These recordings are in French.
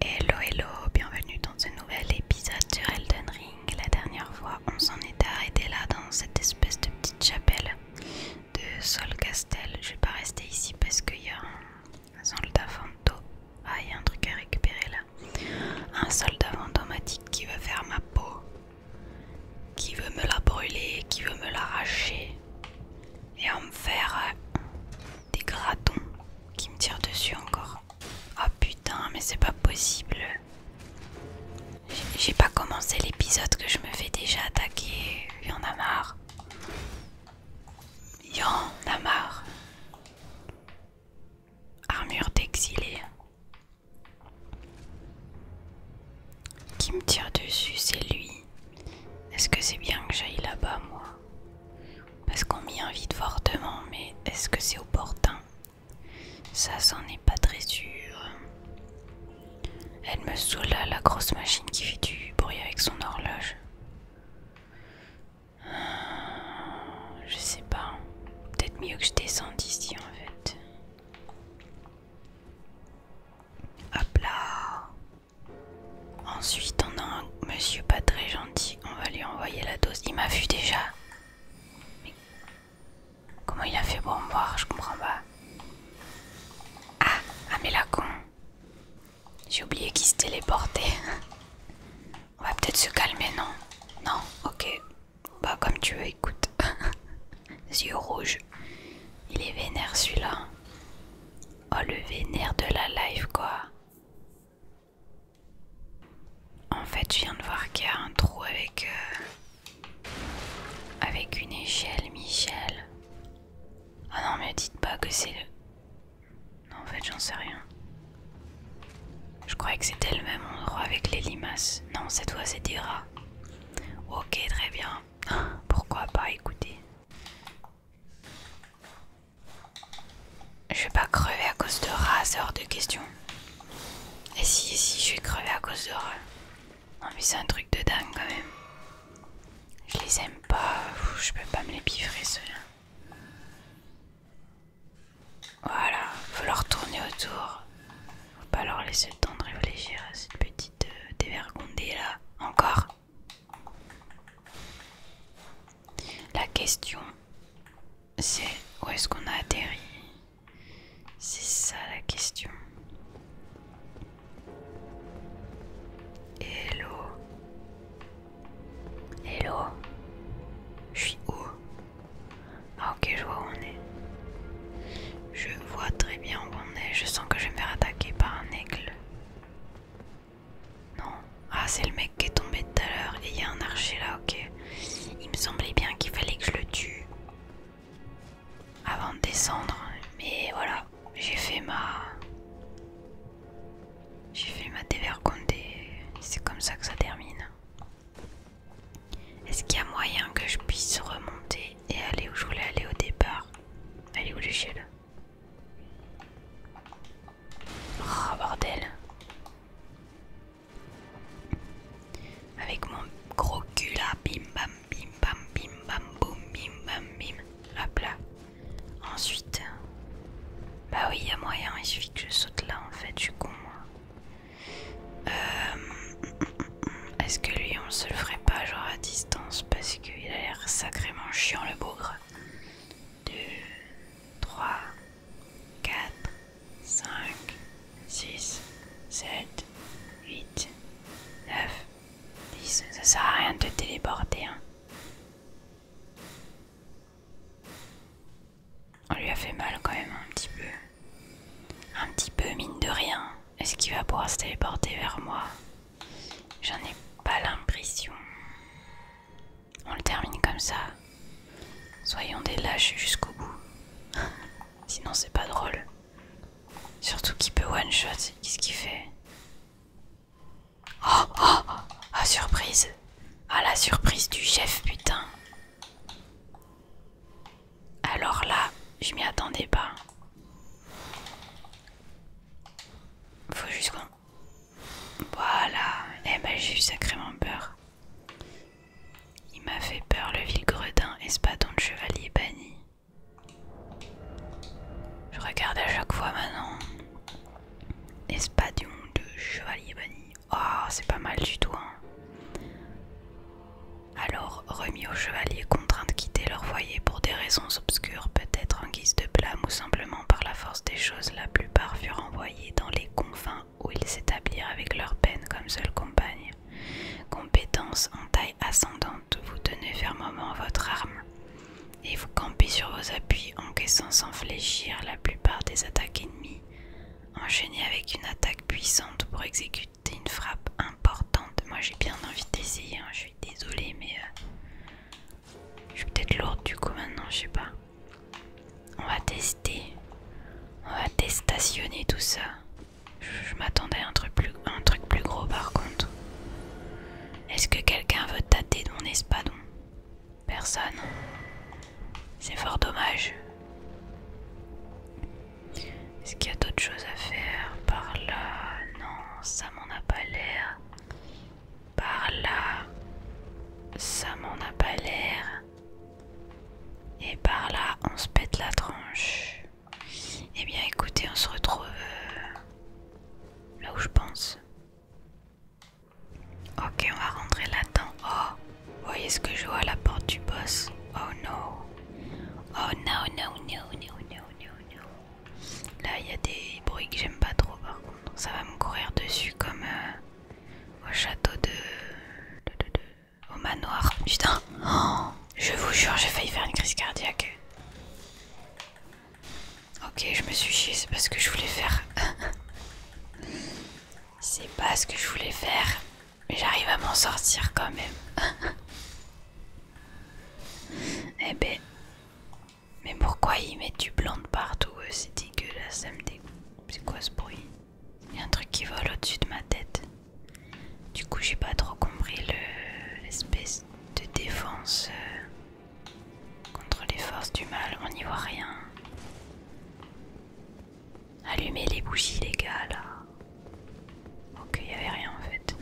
Hello hello, bienvenue dans ce nouvel épisode sur Elden Ring. La dernière fois, on s'en est arrêté là dans cette espèce de petite chapelle de Sol Castel. Je vais pas rester ici parce qu'il y a un soldat fantôme. Ah, il y a un truc à récupérer là. Un soldat fantomatique qui veut faire ma peau, qui veut me la brûler, qui veut me l'arracher et en me faire euh, des gratons qui me tirent dessus encore. Ah putain, mais c'est pas possible. J'ai pas commencé l'épisode que je me fais déjà attaquer. Il en a marre. Il a marre. Armure d'exilé. Qui me tire dessus, c'est lui. Est-ce que c'est bien que j'aille là-bas, moi parce qu'on m'y invite fortement, mais est-ce que c'est opportun Ça, c'en est pas très sûr. Elle me saoula la grosse machine qui fait du bruit avec son horloge. Euh, je sais pas. Peut-être mieux que je descende d'ici en fait. Hop là Ensuite, on a un monsieur pas très gentil. On va lui envoyer la dose. Il m'a vu déjà. comment il a fait pour me voir Je comprends pas. Ah, ah mais la con. J'ai oublié qu'il se téléportait. on va peut-être se calmer, non Non, ok. Bah comme tu veux, écoute. Les yeux rouges. Il est vénère celui-là. Oh le vénère de la live quoi. En fait, je viens de voir qu'il y a un trou avec euh, avec une échelle, Michel. Ah non, mais dites pas que c'est le. Non, en fait, j'en sais rien. Je croyais que c'était le même endroit avec les limaces. Non, cette fois, c'était rat Ok, très bien. Pourquoi pas écouter je vais pas crever à cause de rats, c'est hors de question. Et si, si, je vais crever à cause de rats. Non mais c'est un truc de dingue quand même. Je les aime pas, je peux pas me les piffrer ceux-là. Voilà, faut leur tourner autour. Faut pas leur laisser le temps de réfléchir à cette petite euh, dévergondée là. Encore la question, c'est où est-ce qu'on a atterri C'est ça la question. Hello. Hello. Je suis où Ah ok, je vois où on est. Je vois très bien où on est. Je sens que je vais me faire attaquer par un aigle. Non. Ah, c'est le mec qui est tombé tout à l'heure. Et il y a un archer là, ok. Il me semblait bien qu'il fallait que je le tue avant de descendre. Mais voilà, j'ai fait ma. J'ai fait ma dévergondée. c'est comme ça que ça termine. Est-ce qu'il y a moyen que je puisse remonter et aller où je voulais aller au départ Aller où l'échelle Oh bordel. Avec mon gros cul là, bim bam bim bam bim bam boum bim bam bim. Hop Ensuite. Bah oui, il a moyen, il suffit que je saute là en fait, je suis con euh, Est-ce que lui on se le ferait pas genre à distance parce qu'il a l'air sacrément chiant le bougre 2, 3, 4, 5, 6, 7, 8, 9, 10. Ça sert à rien de téléporter. Hein. On lui a fait mal quand même un petit peu. Un petit peu mine de rien. Est-ce qu'il va pouvoir se téléporter vers moi J'en ai pas l'impression. On le termine comme ça. Soyons des lâches jusqu'au bout. Sinon c'est pas drôle. Surtout qu'il peut one shot. Qu'est-ce qu'il fait Oh oh Ah surprise Ah la surprise du chef putain Alors là, je m'y attendais pas. Faut juste qu'on voilà, et eh ben j'ai eu sacrément peur. Il m'a fait peur le vil gredin, espadon de chevalier banni. Je regarde à chaque fois maintenant. Espadon de chevalier banni. Oh, c'est pas mal du tout. Hein. Alors, remis aux chevaliers contraints de quitter leur foyer pour des raisons obscures, peut-être en guise de blâme ou simplement par la force des choses, la furent envoyés dans les confins où ils s'établirent avec leur peine comme seule compagne. Compétence en taille ascendante, vous tenez fermement votre arme et vous campez sur vos appuis, en encaissant sans fléchir la plupart des attaques ennemies, enchaînez avec une attaque puissante pour exécuter une frappe importante. Moi j'ai bien envie d'essayer, hein, je suis désolée, mais euh, je suis peut-être lourde du coup maintenant, je sais pas. On va tester. On va déstationner tout ça. Je, m'attendais à un truc, plus, un truc plus gros par contre. Est-ce que quelqu'un veut tâter de mon espadon Personne. C'est fort dommage. Est-ce qu'il y a d'autres choses à faire par là Non, ça m'en a pas l'air. Par là, ça m'en a pas l'air. Et par là, on se pète la tranche. Eh bien, écoutez, on se retrouve euh, là où je pense. Ok, on va rentrer là-dedans. Oh, voyez ce que je vois à la porte du boss. Oh non. Oh non, non, non, non, non, non, non. Là, il y a des bruits que j'aime pas trop par contre. Ça va me courir dessus comme euh, au château de... Au manoir. Putain. je vous jure, j'ai failli faire une crise cardiaque. Ok, je me suis chié, c'est pas ce que je voulais faire. c'est pas ce que je voulais faire. Mais j'arrive à m'en sortir quand même. eh ben, mais pourquoi ils mettent du blanc de partout C'est dégueulasse, ça me dégoûte. C'est quoi ce bruit Il y a un truc qui vole au-dessus de ma tête. Du coup, j'ai pas trop compris l'espèce de défense euh, contre les forces du mal. On n'y voit rien. Allumez les bougies, les gars, là. Ok, il avait rien en fait.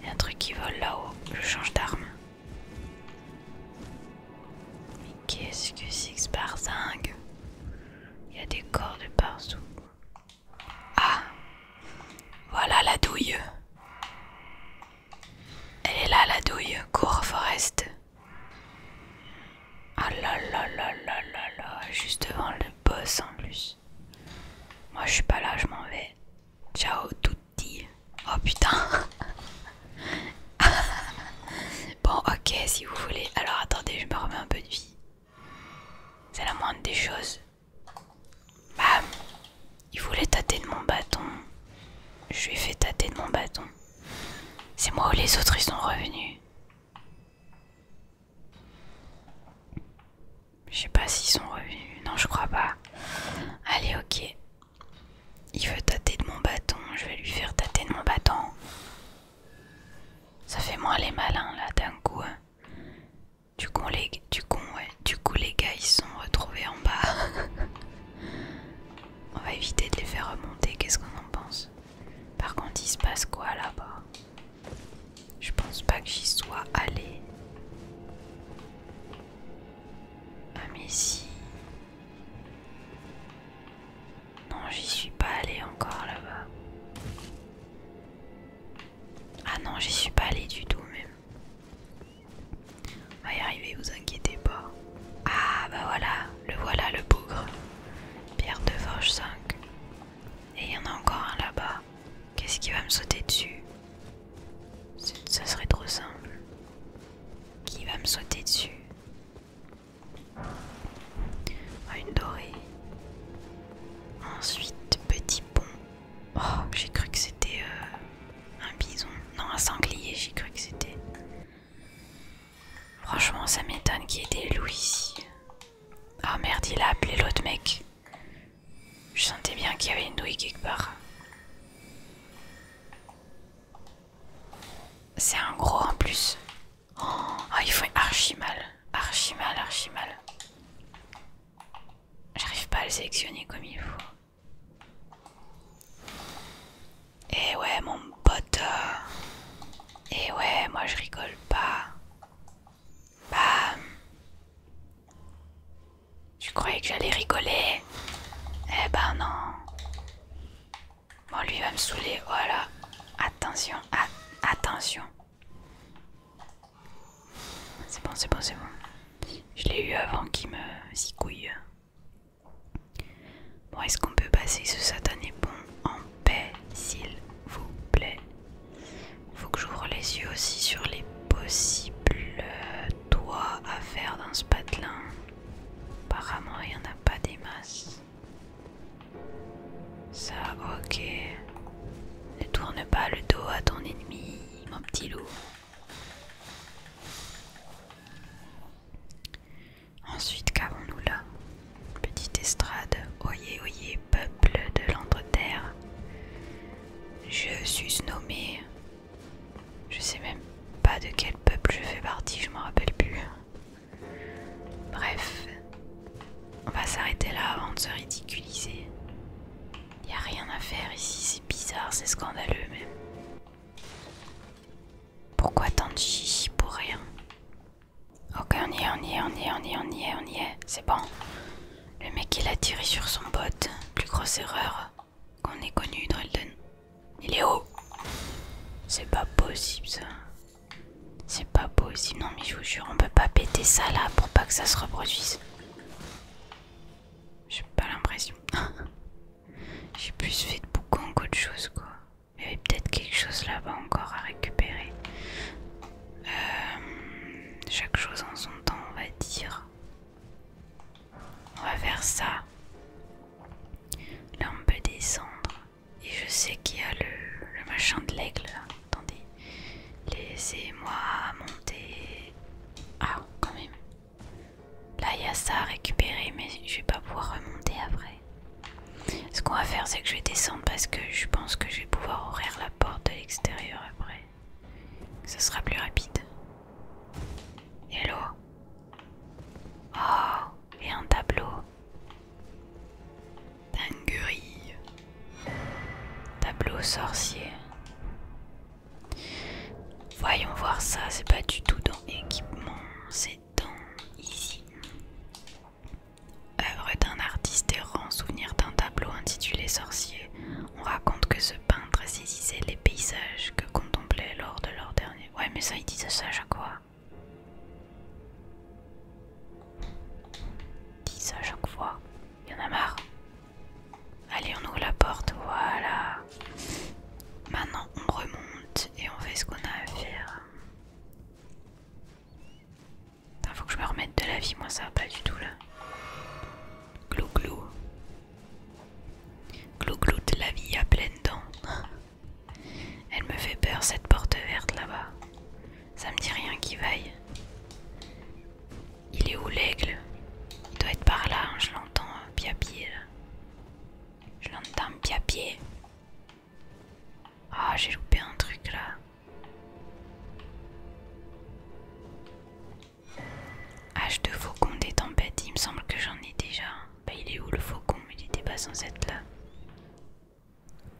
Il y a un truc qui vole là-haut. Je change d'arme. Mais qu'est-ce que 6 par 5 Il y a des cordes partout. Ah Voilà la douille Elle est là la douille, cours Forest. Ah là là là là là là, juste devant le boss en plus. Moi je suis pas là, je m'en vais. Ciao, tout Oh putain Bon ok si vous voulez. Alors attendez, je me remets un peu de vie. C'est la moindre des choses. Bam Il voulait tâter de mon bâton. Je lui ai fait tâter de mon bâton. C'est moi ou les autres ils sont revenus. Je sais pas s'ils sont revenus. Non, je crois pas. Allez, ok. Il veut tâter de mon bâton, je vais lui faire tâter de mon bâton. Ça fait moins les malins là d'un coup. Hein. Du coup, les, du, du coup, les gars ils sont retrouvés en bas. On va éviter de les faire remonter, qu'est-ce qu'on en pense Par contre, il se passe quoi là-bas Je pense pas que j'y sois allé. Ah mais si. Non, j'y suis pas allé encore là-bas. Ah non, j'y suis pas allé du tout même. On va y arriver, vous inquiétez pas. Ah bah voilà, le voilà le bougre. Pierre de Forge 5. Et il y en a encore un là-bas. Qu'est-ce qui va me sauter dessus Ça serait trop simple. Qui va me sauter dessus ah, Une dorée. Ensuite, petit pont. Oh, j'ai cru que c'était euh, un bison. Non, un sanglier, j'ai cru que c'était. Franchement, ça m'étonne qu'il y ait des loups ici. Oh merde, il a appelé l'autre mec. Je sentais bien qu'il y avait une douille quelque part. C'est un gros en plus. Oh, il faut archi mal. Archi mal, archi mal. J'arrive pas à le sélectionner comme il faut. Et ouais, mon pote. Euh, et ouais, moi je rigole pas. Bam. Je croyais que j'allais rigoler Eh ben non. Bon, lui va me saouler. Voilà. Attention, attention. C'est bon, c'est bon, c'est bon. Je l'ai eu avant qu'il me couille. Bon, est-ce qu'on peut passer ce satané pont en paix, s'il vous plaît Faut que j'ouvre les yeux aussi sur les possibles euh, toi, à faire dans ce patelin. Apparemment, il n'y en a pas des masses. Ça, ok. Ne tourne pas le dos à ton ennemi, mon petit loup. Ensuite, qu'avons-nous là Petite estrade, oyez, oyez, peuple de l'Angleterre. Je suis nommé je sais même pas de quel peuple je fais partie, je m'en rappelle plus. Bref, on va s'arrêter là avant de se ridiculiser. Il Y a rien à faire ici, c'est bizarre, c'est scandaleux même. Pourquoi tant de chichi pour rien Ok, on y est, on y est, on y est, on y est, on y est, on y est, c'est bon. Le mec il a tiré sur son bot, plus grosse erreur qu'on est connu dans Elden. Il est haut C'est pas possible ça. C'est pas possible. Non mais je vous jure, on peut pas péter ça là pour pas que ça se reproduise. J'ai pas l'impression. J'ai plus fait de boucan qu'autre chose quoi. Il y avait peut-être quelque chose là-bas encore à récupérer. Euh, chaque chose en son temps, on va dire. On va faire ça. Là on peut descendre. Et je sais qu'il y a le, machin de l'aigle. Attendez. Laissez-moi monter. Ah, quand même. Là il y a ça à récupérer, mais je vais pas pouvoir remonter après. Ce qu'on va faire, c'est que je vais descendre parce que je pense que je vais pouvoir ouvrir la porte de l'extérieur après ce sera plus rapide. Hello Oh, et un tableau. Dinguerie. Tableau sorcier. Voyons voir ça, c'est pas du tout dans équipement, c'est dans ici. Œuvre d'un artiste errant, souvenir d'un tableau intitulé Sorcier, on raconte que ce peintre saisissait les paysages que contemplait lors de leur dernier. Ouais, mais ça, ils disent ça à chaque fois. Ils disent ça à chaque fois. Il y en a marre. Allez, on ouvre la porte. Voilà. Maintenant, on remonte et on fait ce qu'on a à faire. Il faut que je me remette de la vie, moi ça va pas du tout là. Glou glou clou de la vie à pleines dents. Elle me fait peur cette porte verte là-bas. Ça me dit rien qui vaille. Il est où l'aigle Il doit être par là, hein, je l'entends hein, pied là. Je l'entends pied Ah, j'ai loupé un truc là. H ah, 2 faucon des tempêtes, il me semble que j'en ai déjà. Bah il est où le faucon Il était pas sans être là.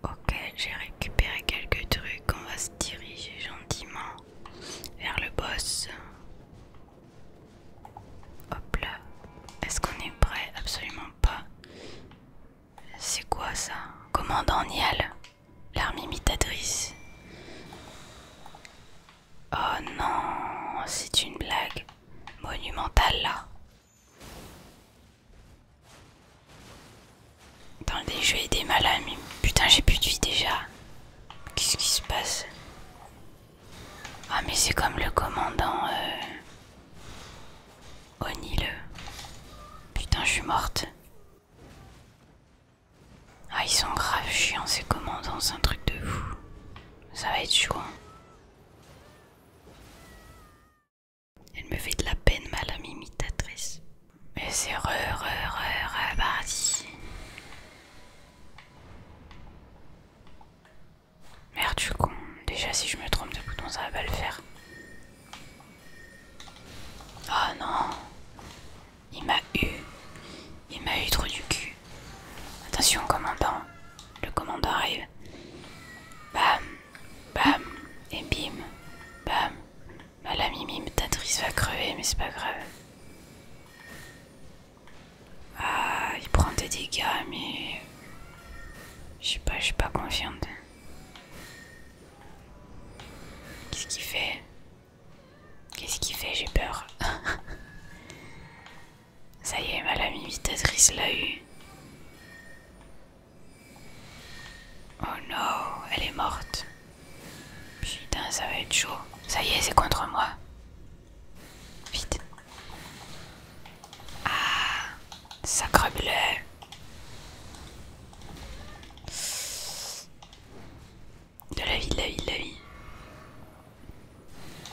Ok, j'ai récupéré quelques trucs, on va se diriger gentiment vers le boss. Hop là. Est-ce qu'on est prêt Absolument pas. C'est quoi ça Commandant Nial, l'armée imitatrice. Oh non, c'est une blague monumentale là. Dans le jeux et des mais Putain, j'ai plus de vie déjà. Qu'est-ce qui se passe Ah mais c'est comme le commandant euh... le. Putain, je suis morte. Ah, ils sont grave chiants ces commandants, c'est un truc de fou. Ça va être chaud. Elle me fait de la peine, ma lame imitatrice. Mais c'est re, re, re, reparti. Merde, je suis con. Déjà, si je me trompe de bouton, ça va pas le faire. Oh non! Il m'a eu. Il m'a eu trop du cul. Attention, commandant. Le commandant arrive. Bam. Bam. Et bim. Bam. Bah la mimi va crever, mais c'est pas grave. Ah, il prend des dégâts, mais... Je sais pas, je suis pas confiante. Qu'est-ce qu'il fait Qu'est-ce qu'il fait J'ai peur. Ça y est, ma imitatrice l'a eu. Oh non, elle est morte. Putain, ça va être chaud. Ça y est, c'est contre moi. Vite. Ah, sacre bleu. De la vie, de la vie, de la vie.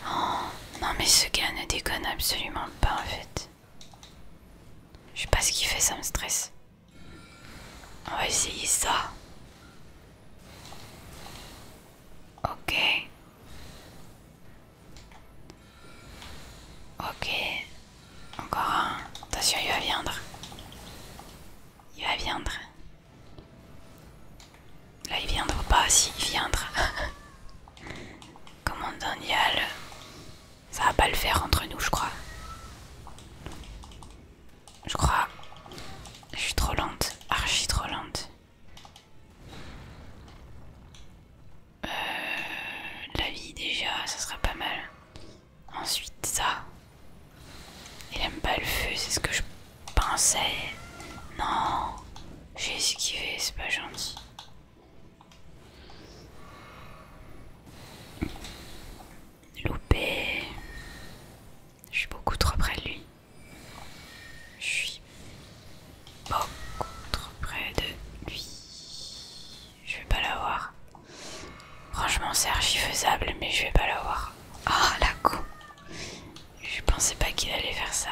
Oh, non mais ce gars ne déconne absolument pas en fait. Je sais pas ce qu'il fait, ça me stresse. On va essayer ça. Ok. Ok. Encore un. Attention, il va viendre. Il va viendre. Là il viendra pas, si il viendra. Commandant Nial, ça va pas le faire entre nous, je crois. Je crois. Je suis trop lente, archi trop lente. Euh, la vie déjà, ça sera pas mal. Ensuite ça. Il aime pas le feu, c'est ce que je pensais. Non, j'ai esquivé, c'est pas gentil. Loupé. Je suis beaucoup trop près de lui. Je suis beaucoup trop près de lui. Je vais pas l'avoir. Franchement, c'est archi faisable, mais je vais pas l'avoir. Ah, la con. Je pensais pas qu'il allait faire ça.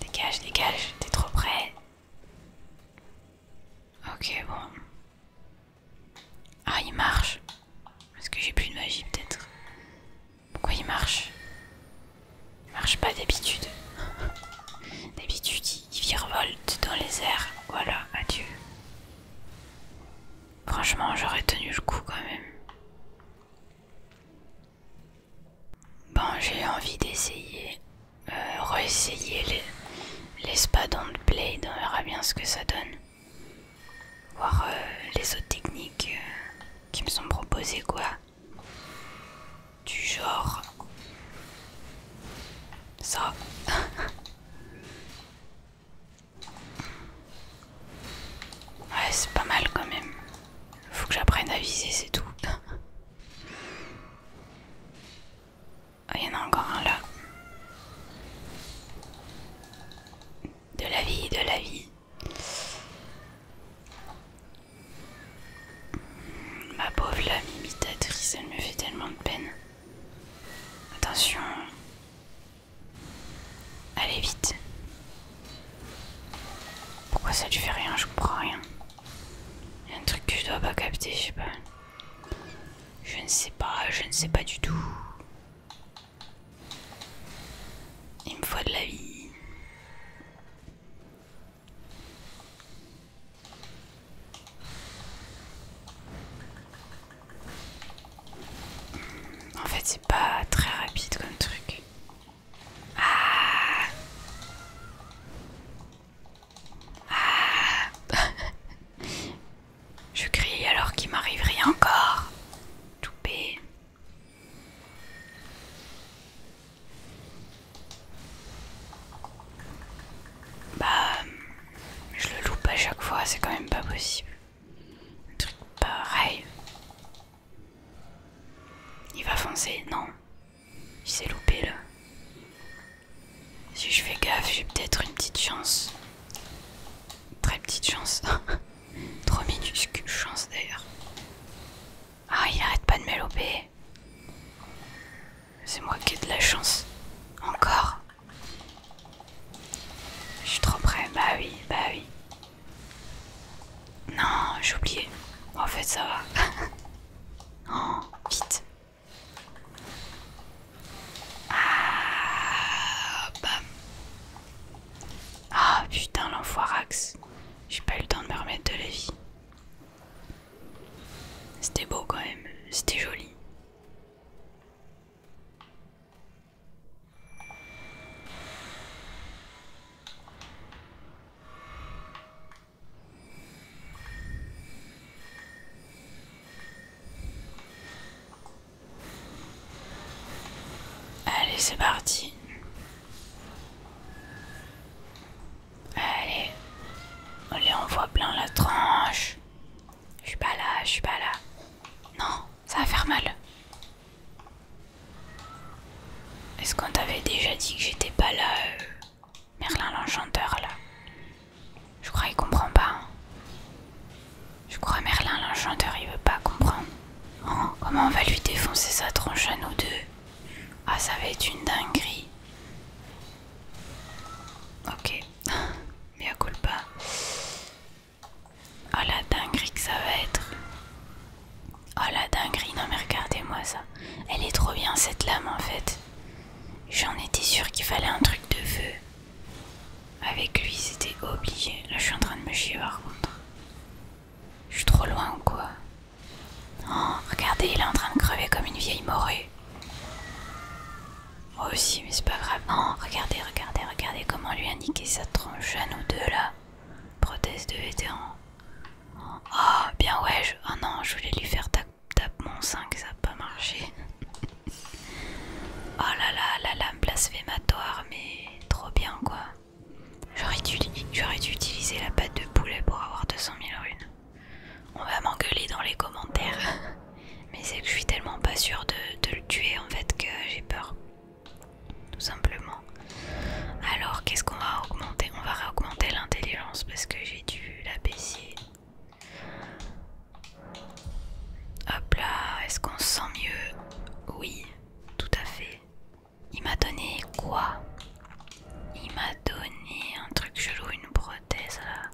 Dégage, dégage, t'es trop près. Ok, bon. Ah, il marche. Parce que j'ai plus de magie peut-être Pourquoi il marche Il marche pas d'habitude. d'habitude, il virevolte dans les airs. Voilà, adieu. Franchement, j'aurais tenu le coup quand même. Bon, j'ai envie d'essayer, euh, les, les dans le blade, on verra bien ce que ça donne. Voir euh, les autres techniques euh, qui me sont proposées, quoi. Du genre. Ça. Ouais, c'est pas mal quand même. Faut que j'apprenne à viser, c'est tout. Ah, il y en a encore un là. De la vie, de la vie. Ma pauvre lame elle me fait tellement de peine. Attention, Allez vite. Pourquoi ça tu fait rien Je comprends rien. Il y a un truc que je dois pas capter, je sais pas. Je ne sais pas, je ne sais pas du tout. Il me faut de la vie. En fait, c'est pas très rapide comme truc. Ah, ah. Je crie alors qu'il m'arrive rien encore. Toupé. Bah, je le loupe à chaque fois, c'est quand même pas possible. Truc pareil. Il va foncer, non. Il s'est loupé là. Si je fais gaffe, j'ai peut-être une petite chance. Très petite chance. Trop minuscule chance d'ailleurs. Ah, il arrête pas de me louper. C'est moi qui ai de la chance. Encore. Je suis trop près. Bah oui, bah oui. Non, j'ai oublié. En fait, ça va. oh, vite. Ah, ah putain, l'enfoirax. J'ai pas eu le temps de me remettre de la vie. C'était beau quand même, c'était joli. Allez, c'est parti. Allez, allez, on voit plein la tranche. Je suis pas là, je suis pas là. Non, ça va faire mal. Est-ce qu'on t'avait déjà dit que j'étais pas là, euh, Merlin l'enchanteur là Je crois qu'il comprend pas. Hein. Je crois Merlin l'enchanteur il veut pas comprendre. Oh, comment on va lui défoncer sa tronche à nous deux Ah ça va être une dinguerie. Ok, mais à pas. Oh la dinguerie que ça va être. Oh la dinguerie, non mais regardez-moi ça. Elle est trop bien cette lame en fait. J'en étais sûre qu'il fallait un truc de feu. Avec lui c'était obligé. Là je suis en train de me chier par contre. Je suis trop loin ou quoi Oh regardez il est en train de crever comme une vieille morée. Moi aussi mais c'est pas grave. oh regardez, regardez, regardez comment lui indiquer sa tronche à nous deux là. Prothèse de vétéran. Oh, bien ouais, oh non, je voulais lui faire tape, mon 5, ça a pas marché. oh là là, la lame blasphématoire, mais trop bien quoi. J'aurais dû, dû utiliser la pâte de poulet pour avoir 200 000 runes. On va m'engueuler dans les commentaires. Mais c'est que je suis tellement pas sûre de le tuer en fait que j'ai peur tout simplement. Alors qu'est-ce qu'on va augmenter On va augmenter l'intelligence parce que j'ai dû la baisser. Hop là, est-ce qu'on se sent mieux Oui, tout à fait. Il m'a donné quoi Il m'a donné un truc chelou, une prothèse là.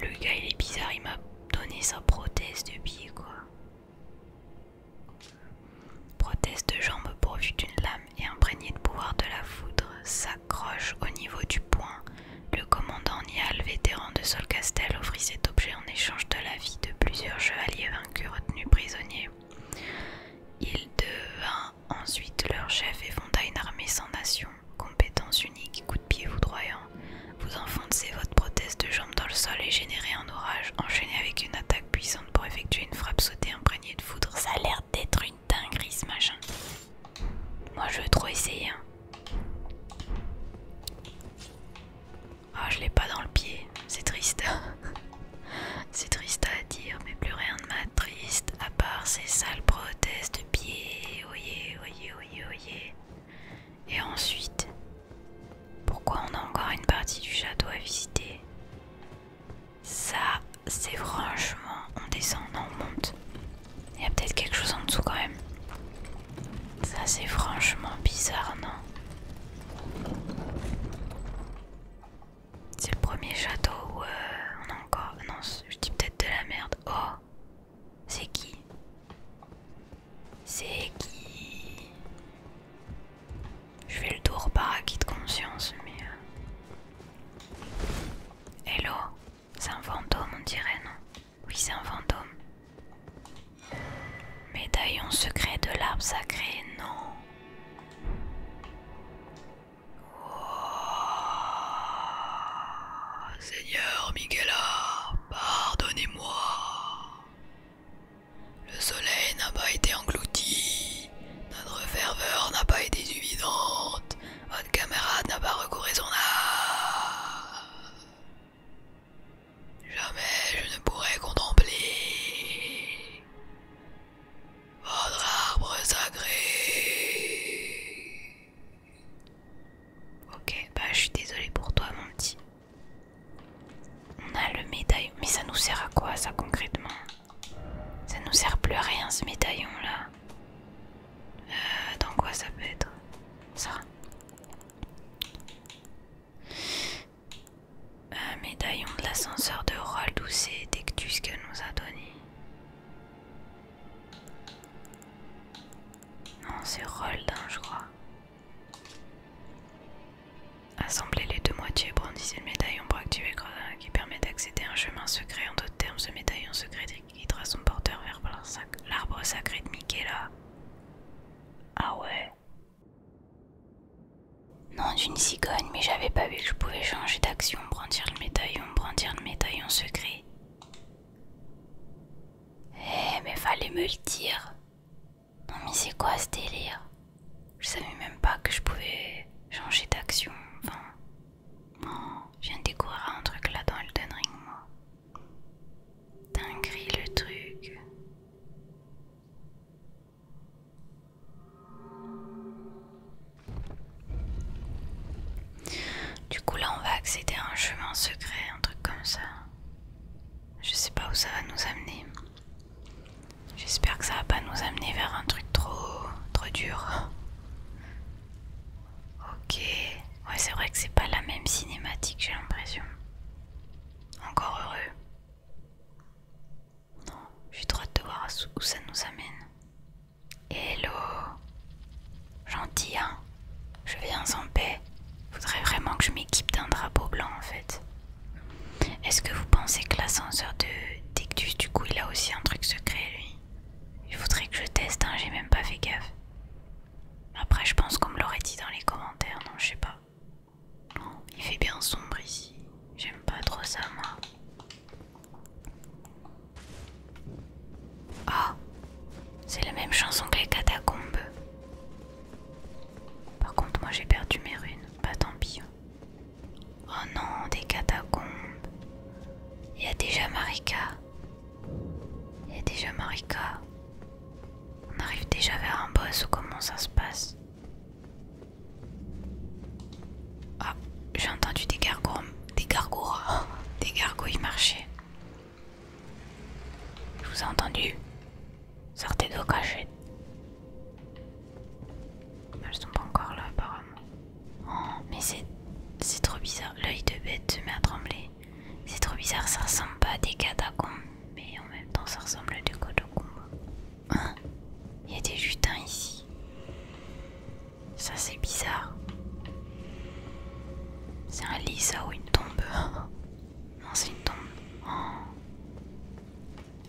Le gars il est bizarre, il m'a donné sa prothèse de pied quoi. Prothèse de jambes pourvue d'une lame et imprégnée de pouvoir de la foudre s'accroche au niveau du poing. Le commandant Nial, vétéran de Solcastel, offrit cet objet en échange de la vie de plusieurs chevaliers vaincus retenus prisonniers. Il devint ensuite leur chef et fonda une armée sans nation, compétence unique, coup de pied foudroyant vous enfoncez votre prothèse de jambe dans le sol et générez un orage, enchaîné avec une attaque puissante pour effectuer une frappe sautée imprégnée de foudre. Ça a l'air d'être une dinguerie ce machin. Moi je veux trop essayer. Hein. Ah, je l'ai pas dans le pied, c'est triste. c'est triste à dire, mais plus rien de triste à part ces sales prothèses de pied. oyez, oyez, oyez. Et ensuite, pourquoi on a encore une partie du château à visiter Ça, c'est franchement, on descend, non, on monte. Il y a peut-être quelque chose en dessous quand même. Ça, c'est franchement bizarre, non C'est le premier château où euh, on a encore... Non, je dis peut-être de la merde. Oh C'est qui c'est qui Je fais le tour par acquis de conscience, mais... Euh, Hello C'est un fantôme, on dirait, non Oui, c'est un fantôme. Médaillon secret de l'arbre sacré, non oh, Seigneur Miguela, pardonnez-moi. Le soleil n'a pas été englouti, notre ferveur n'a pas été suffisante, votre camarade n'a pas recouru son art. Jamais je ne pourrai contempler votre arbre sacré. Ok, bah je suis désolée pour toi mon petit. On a le médaillon. Mais ça nous sert à quoi ça concrètement Ça nous sert plus à rien ce médaillon là. Euh, dans quoi ça peut être Ça. Un médaillon de l'ascenseur de Roll ou c'est Tectus qu'elle nous a donné. Non, c'est Roll hein, je crois. Assembler les deux moitiés, brandissez le médaillon pour activer Gredin qui permet d'accéder à un chemin secret. En d'autres termes, ce médaillon secret guidera son porteur vers l'arbre sacré de Mikaela. Ah ouais Non, d'une cigogne, mais j'avais pas vu que je pouvais changer d'action. Brandir le médaillon, brandir le médaillon secret. Eh, mais fallait me le dire. Non mais c'est quoi ce délire Je savais même pas que je pouvais changer d'action, enfin... Oh, je viens de découvrir un truc là dans Elden Ring, moi. Dinguerie le truc. Du coup là on va accéder à un chemin secret, un truc comme ça. Je sais pas où ça va nous amener. J'espère que ça va pas nous amener vers un truc trop trop dur. Ok. Ouais c'est vrai que c'est pas la même cinématique j'ai l'impression. Encore heureux. Non, j'ai trop hâte de voir où ça nous amène. Hello Gentil hein je viens en paix. Faudrait vraiment que je m'équipe d'un drapeau blanc en fait. Est-ce que vous pensez que l'ascenseur de Tectus, du coup, il a aussi un truc secret lui Il faudrait que je teste, hein, j'ai même pas fait gaffe. Après, je pense qu'on me l'aurait dit dans les commentaires, non, je sais pas. il fait bien sombre ici. J'aime pas trop ça, moi. Ah, c'est la même chanson que les catacombes. Par contre, moi j'ai perdu mes runes, pas bah, tant pis. Hein. Oh non, des catacombes. Il y a déjà Marika. Il y a déjà Marika. On arrive déjà vers un boss ou comment ça se passe Ah, j'ai entendu des gargoyles. Des gargots Des gargouilles marcher. Je vous ai entendu. Sortez de vos cachettes. Elles sont pas encore là apparemment. Oh, mais c'est trop bizarre. L'œil de bête se met à trembler. C'est trop bizarre, ça ressemble pas à des catacombes. Mais en même temps, ça ressemble à des catacombes. Hein Il y a des jutins ici. Ça c'est bizarre. C'est un lit ça ou une tombe Non, c'est une tombe. Oh.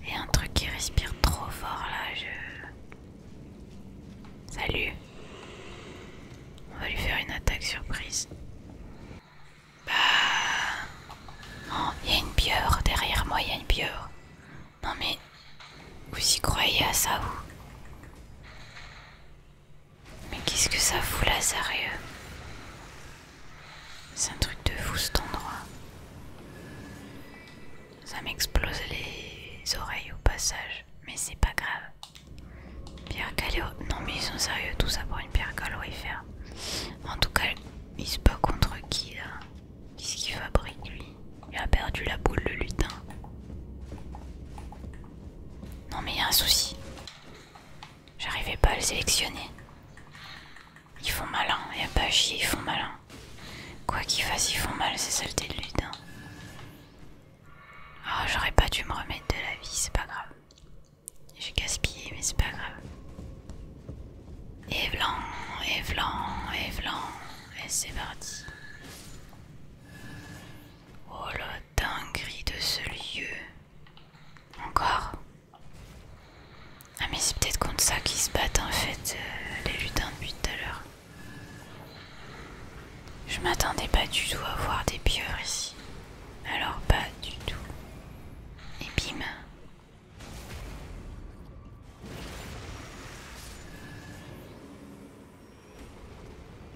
Et un truc qui respire trop fort là, je. Salut. On va lui faire une attaque surprise. Bah. Oh, il y a une pieuvre derrière moi, il y a une pieuvre. Non mais. Vous y croyez à ça, vous mais qu'est-ce que ça fout là, sérieux C'est un truc de fou cet endroit. Ça m'explose les oreilles au passage, mais c'est pas grave. Pierre Gallo, Non, mais ils sont sérieux, tout ça pour une pierre calorifère. En tout cas, il se bat contre qui là Qu'est-ce qu'il fabrique lui Il a perdu la boule, le lutin. Non, mais un souci. J'arrivais pas à le sélectionner. Ils font malin, et a pas chier, ils font malin. Quoi qu'ils fassent, ils font mal, ces saletés de lutin. Hein. Oh, ah, j'aurais pas dû me remettre de la vie, c'est pas grave. J'ai gaspillé, mais c'est pas grave. Et blanc, et blanc, et blanc, et c'est parti. Oh la dinguerie de ce lieu. Encore Ah mais c'est peut-être contre ça qu'ils se battent en fait, euh, les lutins depuis tout à l'heure. Je m'attendais pas du tout à voir des pieuvres ici. Alors pas du tout. Et bim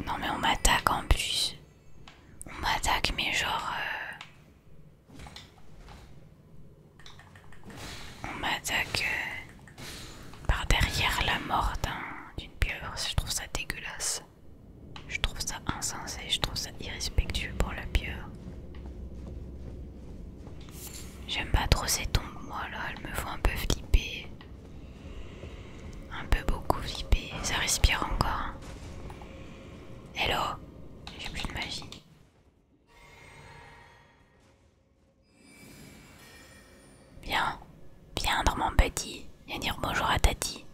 Non mais on m'attaque en plus. On m'attaque, mais genre. Euh, on m'attaque euh, par derrière la mort hein, d'une pieuvre. Je trouve ça dégueulasse. Je trouve ça insensé, je trouve ça irrespectueux pour la pieuvre. J'aime pas trop ces tombes, moi là, elles me font un peu flipper. Un peu beaucoup flipper, ça respire encore. Hein. Hello J'ai plus de magie. Viens, viens dans mon petit, viens dire bonjour à Tati.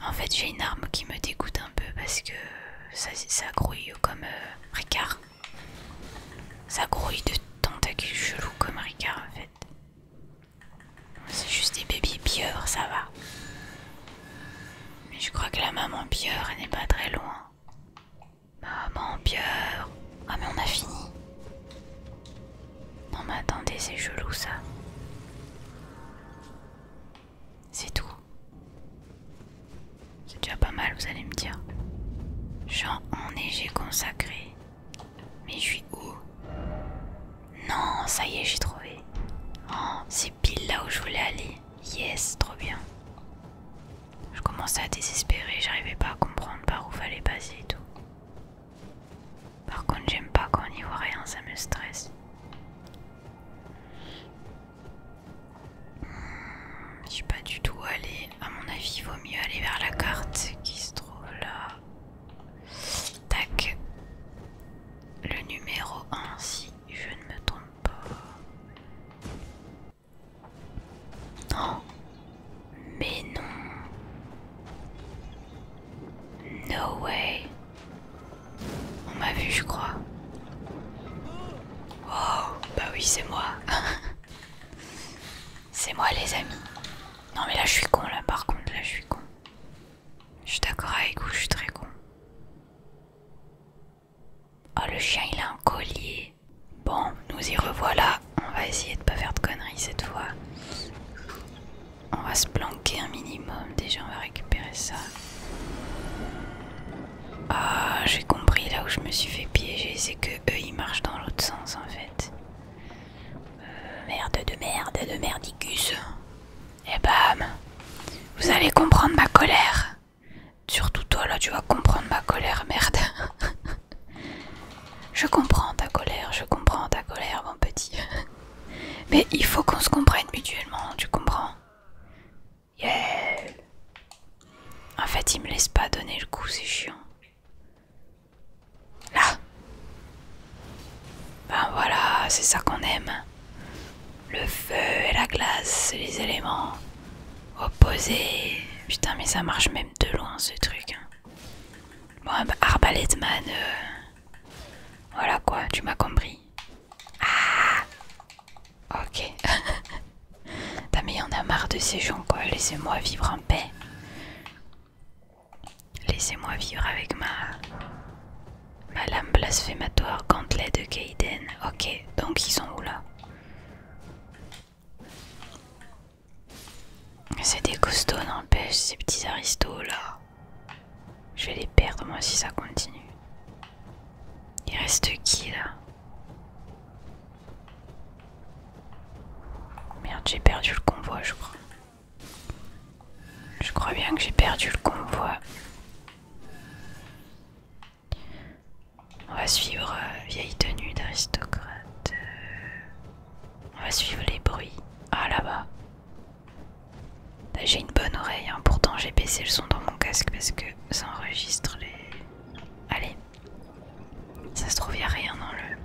En fait, j'ai une arme qui me dégoûte un peu parce que ça, grouille comme euh, Ricard. Ça grouille de tentacules chelous comme Ricard en fait. C'est juste des bébés pieurs, ça va. Mais je crois que la maman elle n'est pas très loin. Maman pieuvre. Ah mais on a fini. Non mais attendez, c'est chelou ça. C'est tout. C'est déjà pas mal, vous allez me dire. est j'ai consacré. Mais je suis où non, ça y est, j'ai trouvé. Oh, c'est pile là où je voulais aller. Yes, trop bien. Je commençais à désespérer, j'arrivais pas à comprendre par où fallait passer et tout. Par contre, j'aime pas quand on n'y voit rien, ça me stresse. Hmm, je suis pas du tout allée. À mon avis, il vaut mieux aller vers la carte qui se trouve là. Tac. Le numéro 1, si je ne me trompe pas. Non. mais non. No way. On m'a vu, je crois. Oh, bah oui, c'est moi. c'est moi, les amis. Non, mais là, je suis con, là, par contre, là, je suis con. Je suis d'accord avec vous, je suis très con. Oh, le chien, il a un collier. Bon, nous y revoilà. On va essayer de pas faire de conneries cette fois. On va se planquer un minimum. Déjà, on va récupérer ça. Ah, j'ai compris là où je me suis fait piéger. C'est que eux, ils marchent dans l'autre sens en fait. Euh, merde de merde de merdicus. Et eh bam ben, Vous allez comprendre ma colère Surtout toi là tu vas comprendre ma colère, merde Je comprends ta colère, je comprends ta colère mon petit Mais il faut qu'on se comprenne mutuellement, tu comprends Yeah En fait il me laisse pas donner le coup, c'est chiant Là Ben voilà, c'est ça qu'on aime. Le feu et la glace, les éléments opposés. Putain, mais ça marche même de loin ce truc. Hein. Bon, ah bah, euh, Voilà quoi, tu m'as compris. Ah Ok. T'as mais en a marre de ces gens quoi, laissez-moi vivre en paix. Laissez-moi vivre avec ma... Ma lame blasphématoire gantelet de Kaiden. Ok, donc ils sont où là C'est des costauds n'empêche, ces petits aristos là. Je vais les perdre moi si ça continue. Il reste qui là Merde, j'ai perdu le convoi je crois. Je crois bien que j'ai perdu le convoi. On va suivre euh, vieille tenue d'aristocrate. Euh. on va suivre les bruits. Ah là-bas. j'ai une bonne oreille. Hein. Pourtant j'ai baissé le son dans mon casque parce que ça enregistre les... Allez. Ça se trouve, il rien dans le...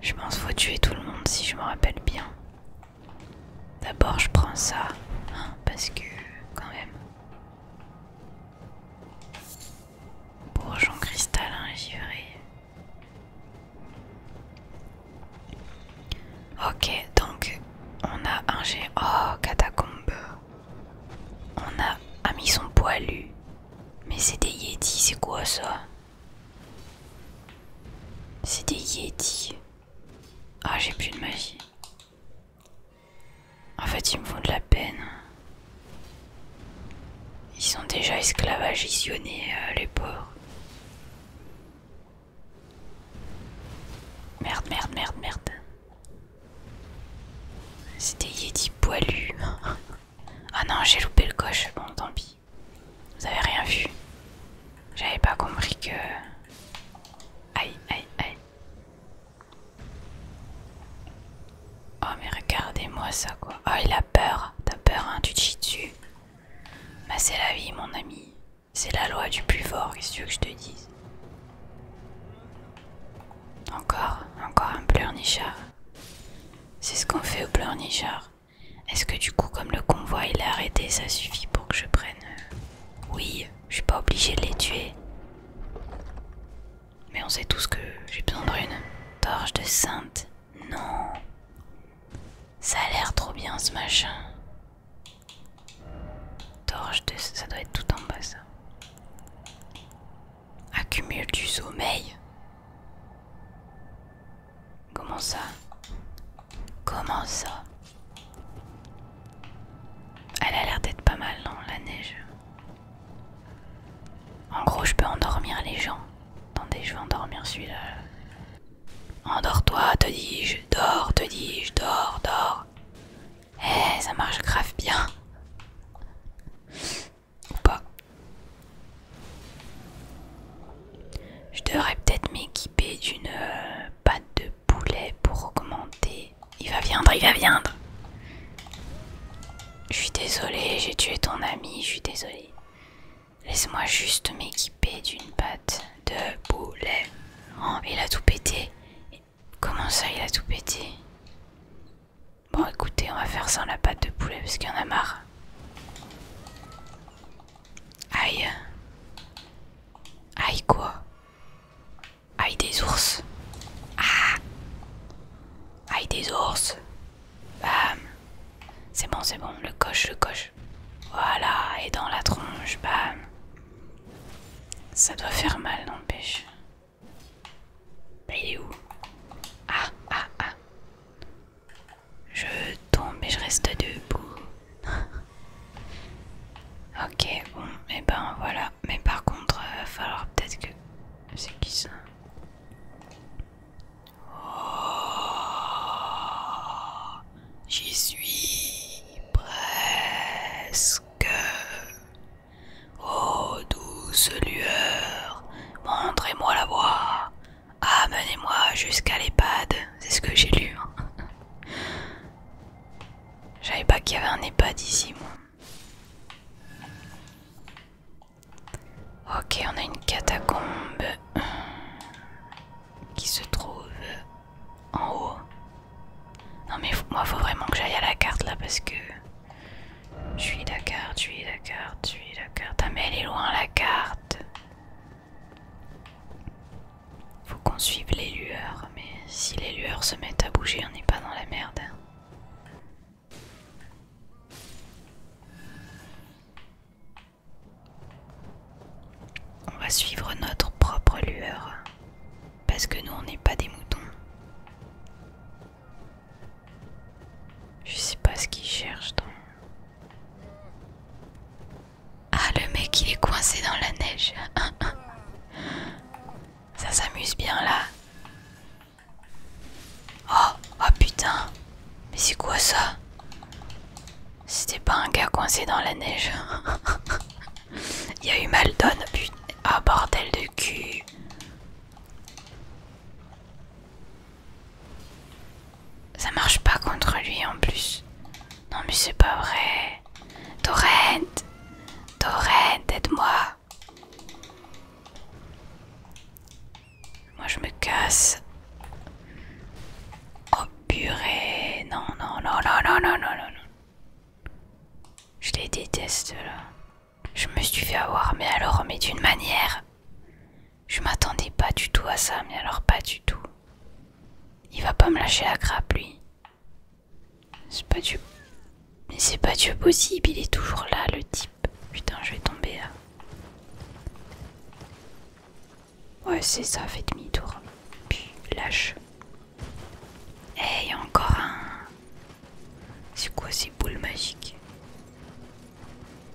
Je pense faut tuer tout le monde si je me rappelle bien. D'abord je prends ça, hein, parce que quand même. Bourgeon hein, j'y vais. Ok, donc on a un G. Oh, catacombe. On a. mis son poilu Mais c'est des yétis, c'est quoi ça c'est des Yeti. Ah, j'ai plus de magie. En fait, ils me font de la peine. Ils sont déjà esclavagisionnés, euh, les pauvres. Merde, merde, merde, merde. C'est des Yeti poilus. ah non, j'ai loupé le coche. Bon, tant pis. Vous avez rien vu. J'avais pas compris que. Aïe, aïe, aïe. Oh, mais regardez-moi ça, quoi. Oh, il a peur. T'as peur, hein, tu te chies dessus. Bah, c'est la vie, mon ami. C'est la loi du plus fort, qu'est-ce que tu veux que je te dise Encore, encore un pleurnichard. C'est ce qu'on fait au pleurnichard. Est-ce que du coup, comme le convoi il est arrêté, ça suffit pour que je prenne... Euh, oui, je suis pas obligé de les tuer. Mais on sait tous que j'ai besoin de une torche de sainte. Non. Ça a l'air trop bien ce machin. Torche de... Ça doit être tout en bas ça. Accumule du sommeil. Comment ça Comment ça Elle a l'air d'être pas mal, non, la neige. En gros, je peux endormir les gens. Attendez, je vais endormir celui-là. Endors-toi, te dis-je. Dors, te dis-je. Dors, dors. Eh, ça marche grave bien. Ou pas. Je devrais peut-être m'équiper d'une euh, pâte de poulet pour augmenter. Il va viendre, il va viendre. Je suis désolée, j'ai tué ton ami, je suis désolée. Laisse-moi juste m'équiper d'une pâte de poulet. Oh, il a tout pété. Comment ça, il a tout pété Bon, écoutez, on va faire sans la pâte de poulet parce qu'il en a marre. Aïe. Aïe quoi Aïe des ours. Ah. Aïe des ours. Bam. C'est bon, c'est bon. Le coche, le coche. Voilà. Et dans la tronche. Bam. Ça doit faire mal, n'empêche. Bah, il est où Ah, ah, ah. Je tombe et je reste debout. ok, bon, et eh ben voilà. Mais par contre, il euh, va falloir peut-être que... C'est qui ça Oh J'y suis presque. Oh douce lueur, montrez-moi la voie. Ah, Amenez-moi jusqu'à l'EHPAD, c'est ce que j'ai lu. Hein. J'avais pas qu'il y avait un EHPAD ici, moi. Ok, on a une catacombe qui se trouve en haut. Non mais moi faut vraiment que j'aille à la carte là parce que je suis la carte, je suis la carte, je suis la carte. Ah mais elle est loin la carte. Faut qu'on suive les lueurs, mais si les lueurs se mettent à bouger, on n'est pas dans la merde. On va suivre notre propre lueur, parce que nous on n'est pas des moutons. Je sais pas ce qu'ils cherchent dans ah, le mec, il est coincé dans la neige. Hein, hein. Ça s'amuse bien là. Oh, oh putain. Mais c'est quoi ça C'était pas un gars coincé dans la neige. il y a eu Maldon, putain. Ah, bordel de cul. Ça marche pas contre lui en plus. Non mais c'est pas vrai. Torrent Torrent, aide-moi Moi je me casse. Oh purée. Non, non, non, non, non, non, non, non. Je les déteste là. Je me suis fait avoir, mais alors, mais d'une manière. Je m'attendais pas du tout à ça, mais alors pas du tout. Il va pas me lâcher la grappe, lui. C'est pas du... Mais c'est pas du possible, il est toujours là, le type. Putain, je vais tomber là. Ouais, c'est ça, fait demi-tour. Puis, lâche. Eh, hey, encore un. C'est quoi ces boules magiques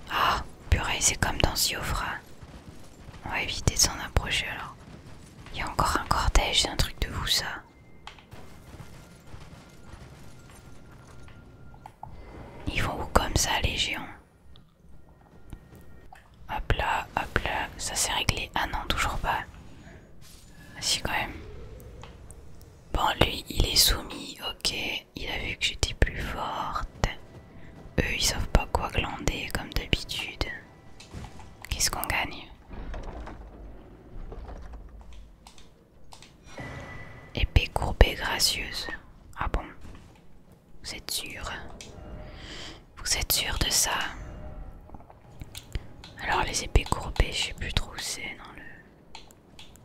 ah, purée, c'est comme dans Siofra. On va éviter de s'en approcher alors. Il y a encore un cortège, c'est un truc de fou ça. Ils vont où comme ça les géants Hop là, hop là, ça s'est réglé. Ah non, toujours pas. Ah, si quand même. Bon, lui, il est soumis, ok. Il a vu que j'étais plus forte. Eux, ils savent pas quoi glander comme d'habitude. Qu'est-ce qu'on gagne Épée courbée gracieuse. Ah bon Vous êtes sûr Vous êtes sûr de ça Alors les épées courbées, je sais plus trop où c'est dans le...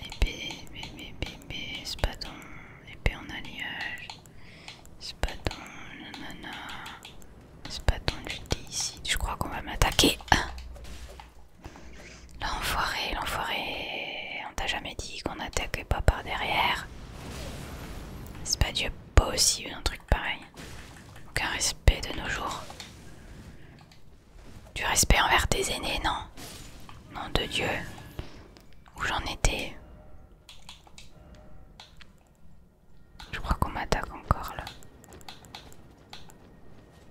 Épée, bébé, bébé, spadon, épée en alliage, pas nanana, je ici, je crois qu'on va m'attaquer. L'enfoiré, l'enfoiré, on t'a jamais dit qu'on attaquait pas par derrière. C'est pas du possible un truc pareil. Aucun respect de nos jours. Du respect envers tes aînés, non Nom de Dieu. Où j'en étais Je crois qu'on m'attaque encore là.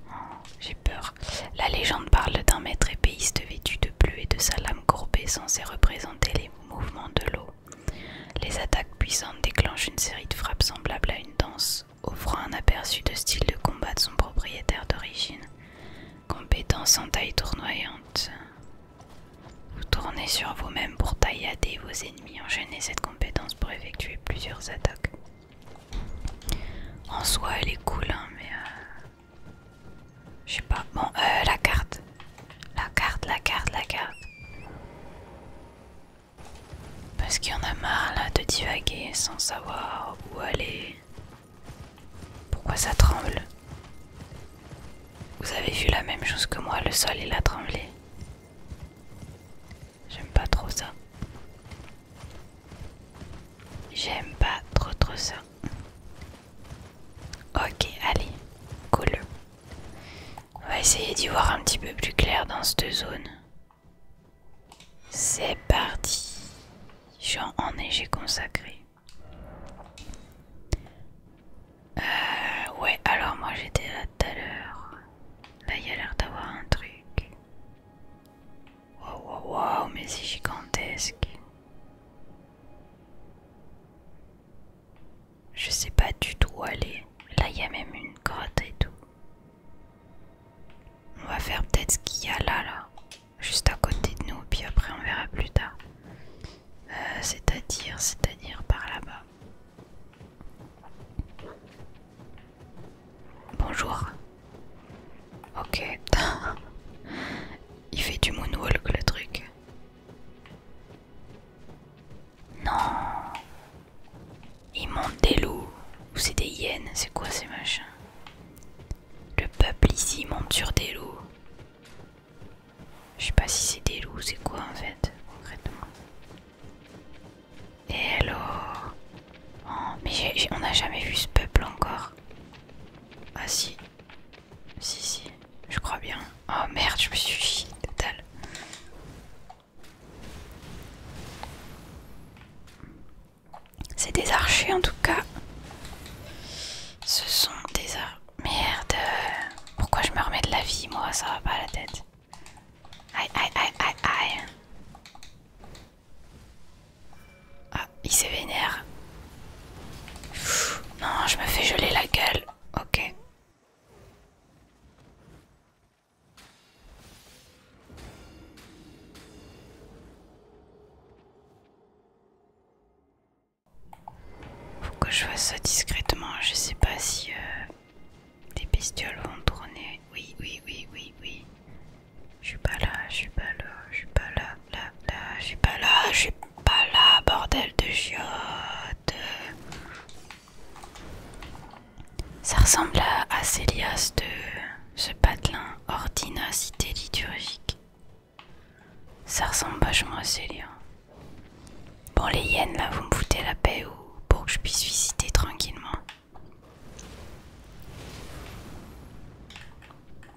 Oh, j'ai peur. La légende parle d'un maître épéiste vêtu de bleu et de sa lame courbée censée représenter les mouvements de l'eau. Les attaques puissantes déclenchent une série de frappes semblables à une danse, offrant un aperçu de style de combat de son propriétaire d'origine. Compétence en taille tournoyante. Vous tournez sur vous-même pour taillader vos ennemis, enchaînez cette compétence pour effectuer plusieurs attaques. En soi, elle est cool, hein, mais... Euh, je sais pas. Bon, euh, la carte. La carte, la carte, la carte. Parce qu'il y en a marre là de divaguer sans savoir où aller. Pourquoi ça tremble Vous avez vu la même chose que moi, le sol il a tremblé. J'aime pas trop ça. J'aime pas trop trop ça. Ok, allez, coule on va essayer d'y voir un petit peu plus clair dans cette zone. C'est parti. ai, j'ai consacré. Euh, ouais, alors moi j'étais là tout à l'heure. Là, il y a l'air d'avoir un truc. Waouh, waouh, waouh, mais c'est gigantesque. Je sais pas du tout où aller. Là, il y a même une grotte et tout. On va faire peut-être ce qu'il y a là, là. Juste à côté de nous, puis après on verra plus tard. Euh, c'est-à-dire, c'est-à-dire par là-bas. Bonjour. Ok. il fait du moonwalk le truc. Non. Ils montent des loups ou c'est des hyènes, c'est quoi ces machins Le peuple ici monte sur des loups. Je sais pas si c'est des loups, c'est quoi en fait, Et alors oh, Mais on n'a jamais vu ce peuple encore. Ah si. Si, si. Je crois bien. Oh merde, je me suis chié total. C'est des archers en tout cas. Ce sont des archers. Merde. Pourquoi je me remets de la vie moi Ça va pas la tête. Aïe aïe aïe aïe aïe. Ah, il s'est vénère. non, je me fais geler la gueule. Ok. Faut que je fasse ça discrètement, je sais pas si des euh, bestioles vont tourner. Oui, oui, oui, oui, oui. Je suis pas là, je suis pas là, je suis pas là, là, là, je suis pas là, je suis pas là, bordel de chiottes. Ça ressemble à Célias de ce patelin Cité liturgique. Ça ressemble vachement à Célia. Bon, les hyènes là, vous me foutez la paix ou pour que je puisse visiter tranquillement.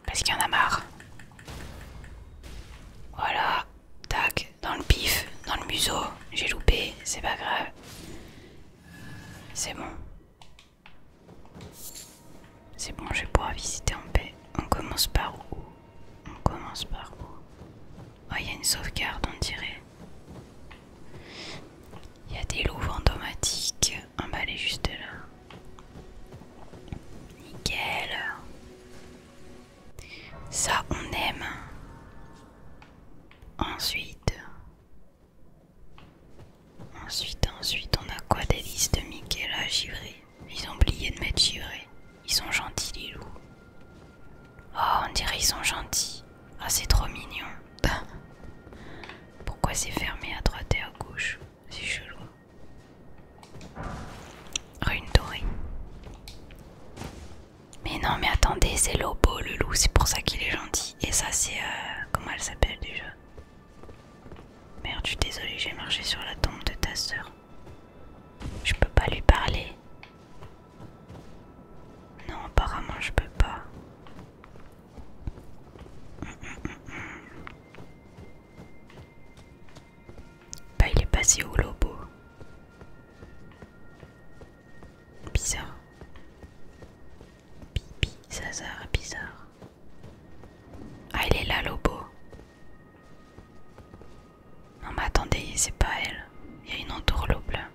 Parce qu'il y en a marre. Voilà, Tac, dans le pif, dans le museau. J'ai loupé, c'est pas grave. C'est bon. C'est bon, je vais pouvoir visiter en paix. On commence par où On commence par où Oh, il y a une sauvegarde, on dirait. Il y a des loups automatiques. On va aller juste là. Nickel. Ça, on aime. Ensuite, ensuite, ensuite, on a quoi des listes de à givré Ils ont oublié de mettre givré. Ils sont gentils, les loups. Oh, on dirait ils sont gentils. Ah, c'est trop mignon. Pourquoi c'est fermé à droite et à gauche C'est chelou. Rune dorée. Mais non, mais attendez, c'est Lobo le loup, c'est pour ça qu'il est gentil. Et ça, c'est. Euh, comment elle s'appelle déjà Merde, je suis désolée, j'ai marché sur la tombe de ta sœur. Je peux pas lui parler. Non, apparemment, je peux pas. Bah, il est passé au Lobo. Bizarre. Pipi, Zazar, bizarre. Ah, elle est là, Lobo. Non, mais attendez, c'est pas elle. Il y a une entourloupe là.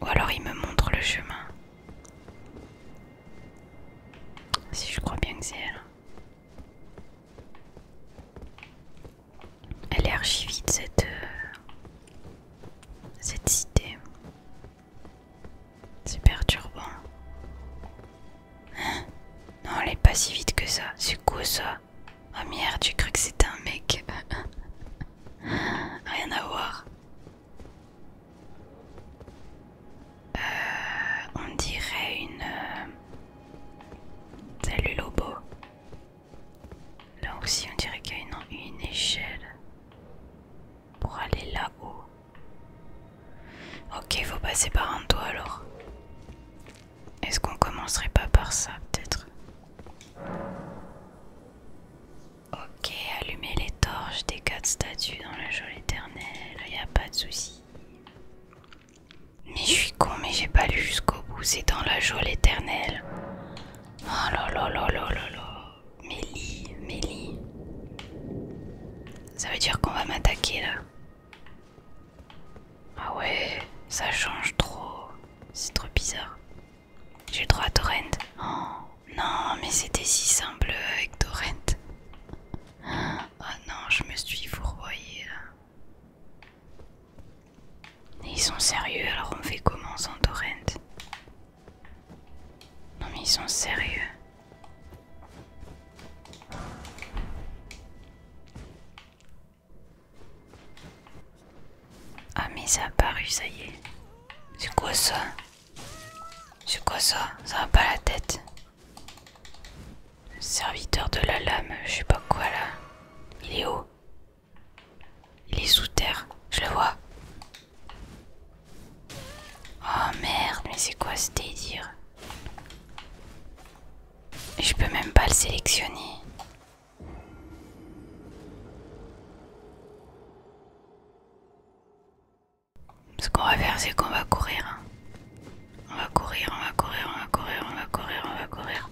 Ou alors il me montre le chemin. Si je crois bien que c'est elle. Elle est archi vite cette, euh, cette cité. C'est perturbant. Hein non, elle est pas si vite que ça. C'est quoi ça Oh merde, j'ai cru que c'est un mec. Rien à voir. Euh, on dirait une... Euh, Salut Lobo. Là aussi, on dirait qu'il y a une, échelle pour aller là-haut. Ok, faut passer par un toit alors. Est-ce qu'on commencerait pas par ça peut-être Ok, allumer les torches des quatre statues dans la Éternel, éternelle, y a pas de souci. Mais je suis con, mais j'ai pas lu jusqu'au bout. C'est dans la geôle éternelle. Oh là là là là là là. Mélie, Mélie. Ça veut dire qu'on va m'attaquer là. Ah ouais, ça change trop. C'est trop bizarre. J'ai le droit à Torrent. Oh, non, mais c'était si simple avec Torrent. Oh non, je me suis fourvoyée là. Mais ils sont sérieux, alors on fait comment sans torrent Non mais ils sont sérieux. Ah mais ça a ça y est. C'est quoi ça C'est quoi ça Ça va pas la tête. serviteur de la lame, je sais pas quoi là. Il est où il est sous terre, je le vois. Oh merde, mais c'est quoi ce délire Je peux même pas le sélectionner. Ce qu'on va faire, c'est qu'on va courir. Hein. On va courir, on va courir, on va courir, on va courir, on va courir.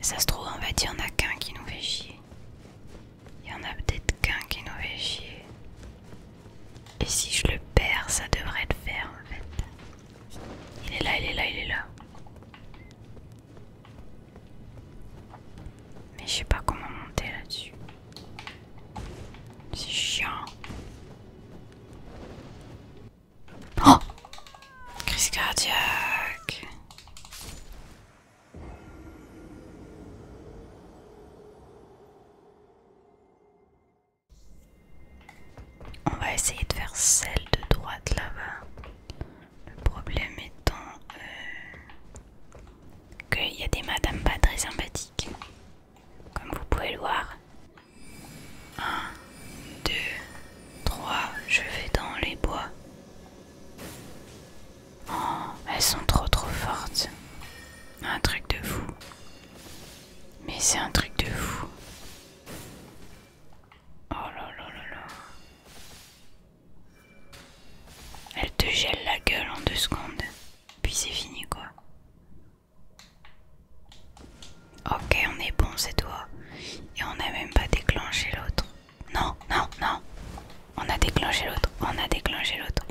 Ça se trouve, en fait il y en a qu'un qui nous fait chier. Il y en a peut-être qu'un qui nous fait chier. Et si je le perds, ça devrait être faire en fait. Il est là, il est là, il est là. Mais je sais pas comment monter là-dessus. C'est chiant. Oh Crise cardiaque. On va essayer de faire celle de droite là-bas. Le problème étant euh, qu'il y a des madames pas très sympathiques comme vous pouvez le voir. 1, 2, 3, je vais dans les bois. Oh, elles sont trop trop fortes. Un truc de fou. Mais c'est un truc de fou. Oh là là là là. Elle te gèle la gueule en deux secondes. Puis c'est fini quoi. Ok, on est bon, c'est toi. Et on n'a même pas déclenché l'autre. Non, non, non. On a déclenché l'autre. On a déclenché l'autre.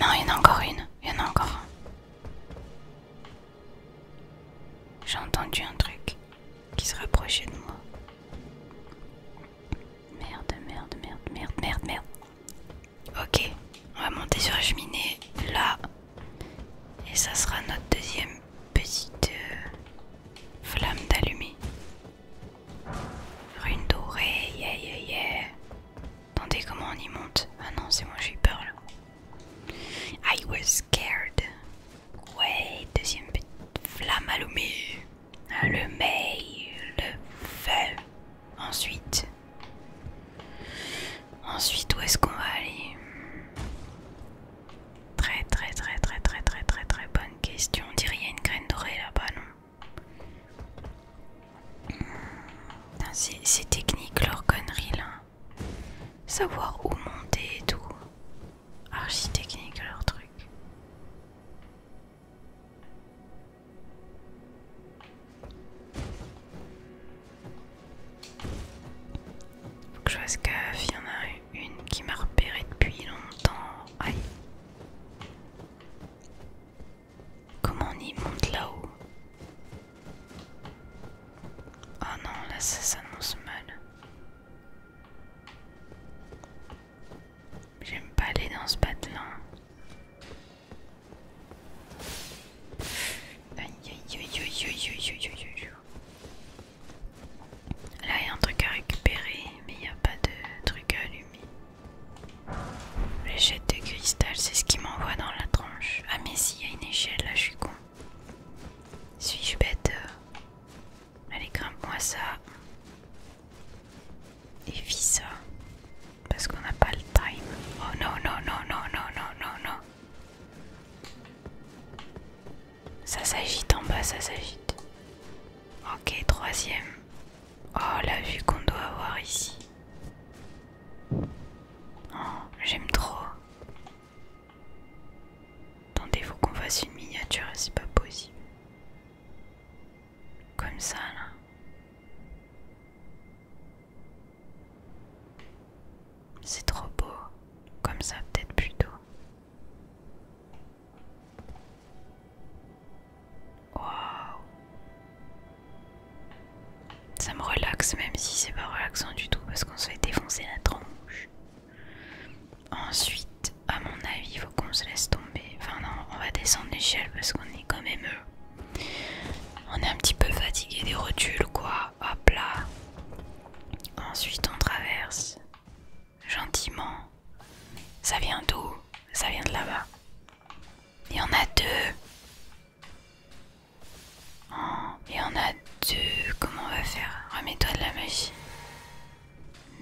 Non, il y en a encore une. Il y en a encore un. J'ai entendu un truc qui se rapprochait de moi. Merde, merde, merde, merde, merde, merde. Ok, on va monter sur la cheminée là. Et ça sera notre deuxième petite euh, flamme d'allumée. Rune dorée, yeah yeah yeah. Attendez, comment on y monte Ah non, c'est moi, j'ai peur là. I was scared. Ouais, deuxième petite flamme allumée. Allumée, le feu. Ensuite, ensuite où est-ce qu'on va aller Très très très très très très très très bonne question. On dirait qu'il y a une graine dorée là-bas, non C'est technique leur connerie là. Savoir où monter et tout. archi-technique leur truc. Faut que je fasse gaffe, y en a une qui m'a repéré depuis longtemps. Aïe. Comment on y monte là-haut Oh non, là ça s'annonce mal. J'aime pas aller dans ce bateau-là. Là il y a un truc à récupérer mais il n'y a pas de truc à allumer. L'échelle de cristal c'est ce qui m'envoie dans la tranche. Ah mais si il y a une échelle là je suis con. Suis-je bête Allez grimpe moi ça. Et vis ça parce qu'on n'a pas le time. Oh non, non, non, non, non, non, non, non. Ça s'agite en bas, ça s'agite. Ok, troisième. Oh, la vue qu'on doit avoir ici. Oh, j'aime trop. Attendez, faut qu'on fasse une miniature, c'est pas possible. Comme ça, là. C'est trop beau, comme ça peut-être plutôt. Waouh Ça me relaxe même si c'est pas relaxant du tout parce qu'on se fait défoncer la tronche. Ensuite, à mon avis, il faut qu'on se laisse tomber. Enfin non, on va descendre l'échelle parce qu'on est quand même euh, on est un petit peu fatigué des rotules, quoi. Hop là. Ensuite, on traverse gentiment. Ça vient d'où Ça vient de là-bas. Il y en a deux. Oh, il y en a deux. Comment on va faire Remets-toi de la magie.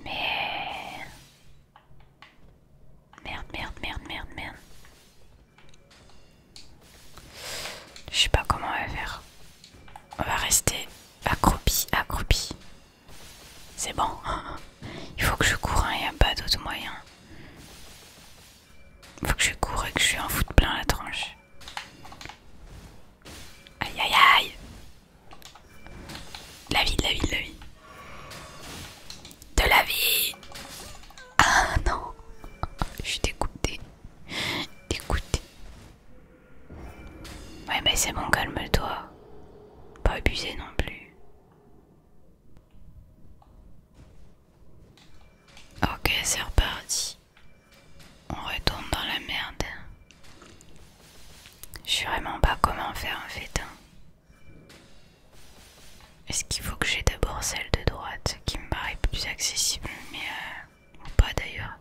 Merde, merde, merde, merde, merde. Je sais pas comment on va faire. On va rester accroupi, accroupi. C'est bon. Il faut que je cours, hein, il a pas d'autre moyen. Il faut que je cours et que je un en de plein la tranche. Aïe aïe aïe La vie, la vie, la vie de la vie. Ah non, je suis dégoûtée. Dégoûtée. Ouais, mais c'est bon, calme-toi. Pas abusé non plus. Ok, c'est reparti. On retourne dans la merde. Je sais vraiment pas comment faire un fétin. Hein. Est-ce qu'il faut que j'ai d'abord celle de droite qui me paraît plus accessible, mais euh, ou pas d'ailleurs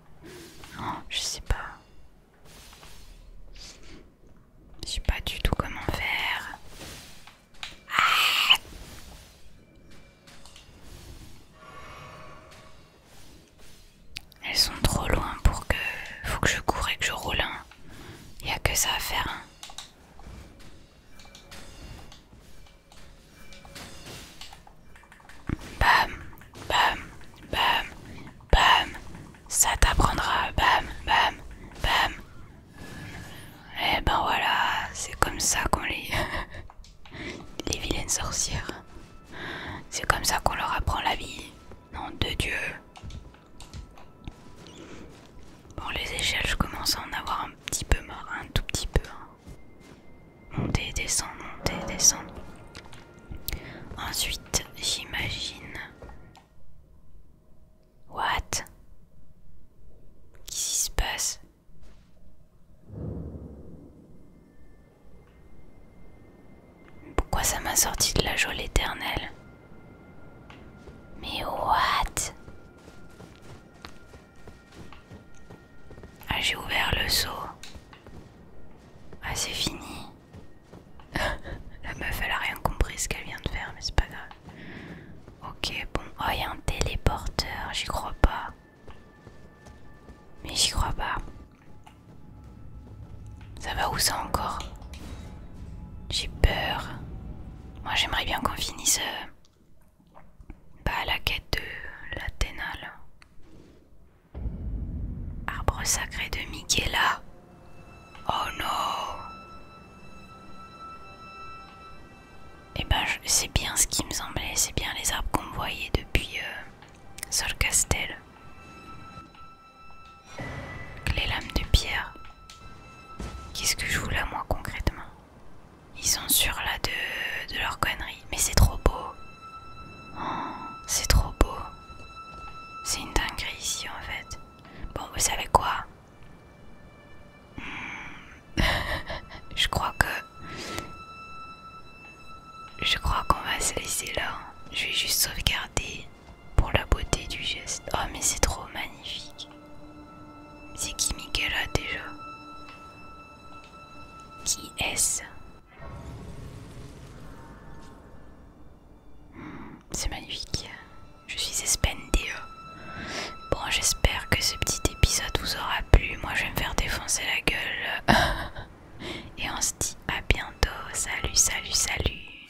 Non, je sais pas. Je sais pas du tout comment faire. Ah! Elles sont trop loin pour que. Faut que je coure et que je roule Il Y a que ça à faire. Hein. Bam, bam, bam, bam. Ça t'apprendra. Bam, bam, bam. Et eh ben voilà, c'est comme ça qu'on les... les vilaines sorcières. C'est comme ça qu'on leur apprend la vie. Nom de Dieu. Bon, les échelles, je commence à en avoir un petit peu mort, un tout petit peu. Hein. Monter, descendre, monter, Ensuite, j'imagine. What Qu'est-ce qui se passe Pourquoi ça m'a sorti de la joie éternelle Mais what ah, j'ai ouvert le seau. Ah, c'est fini. La meuf, elle a rien compris ce qu'elle vient de faire, mais c'est pas grave. Ok, bon. Oh, il y a un téléporteur, j'y crois pas. Mais j'y crois pas. Ça va où ça encore J'ai peur. Moi, j'aimerais bien qu'on finisse. Euh, pas la quête de l'Athénale. Arbre sacré de Miquela Oh non Et eh ben c'est bien ce qui me semblait, c'est bien les arbres qu'on voyait depuis euh, Sol Castel. Les lames de pierre. Qu'est-ce que je voulais moi concrètement ils sont sur la de, leur connerie. Mais c'est trop beau. Oh, c'est trop beau. C'est une dinguerie ici en fait. Bon, vous savez quoi hmm. Je crois que... Je crois qu'on va se laisser là. Je vais juste sauvegarder pour la beauté du geste. Oh mais c'est trop magnifique. C'est qui a déjà Qui est-ce hmm, C'est magnifique. Je suis Espendeo. Bon, j'espère que ce petit épisode vous aura plu. Moi, je vais me faire défoncer la gueule. Et on se dit à bientôt. Salut, salut, salut.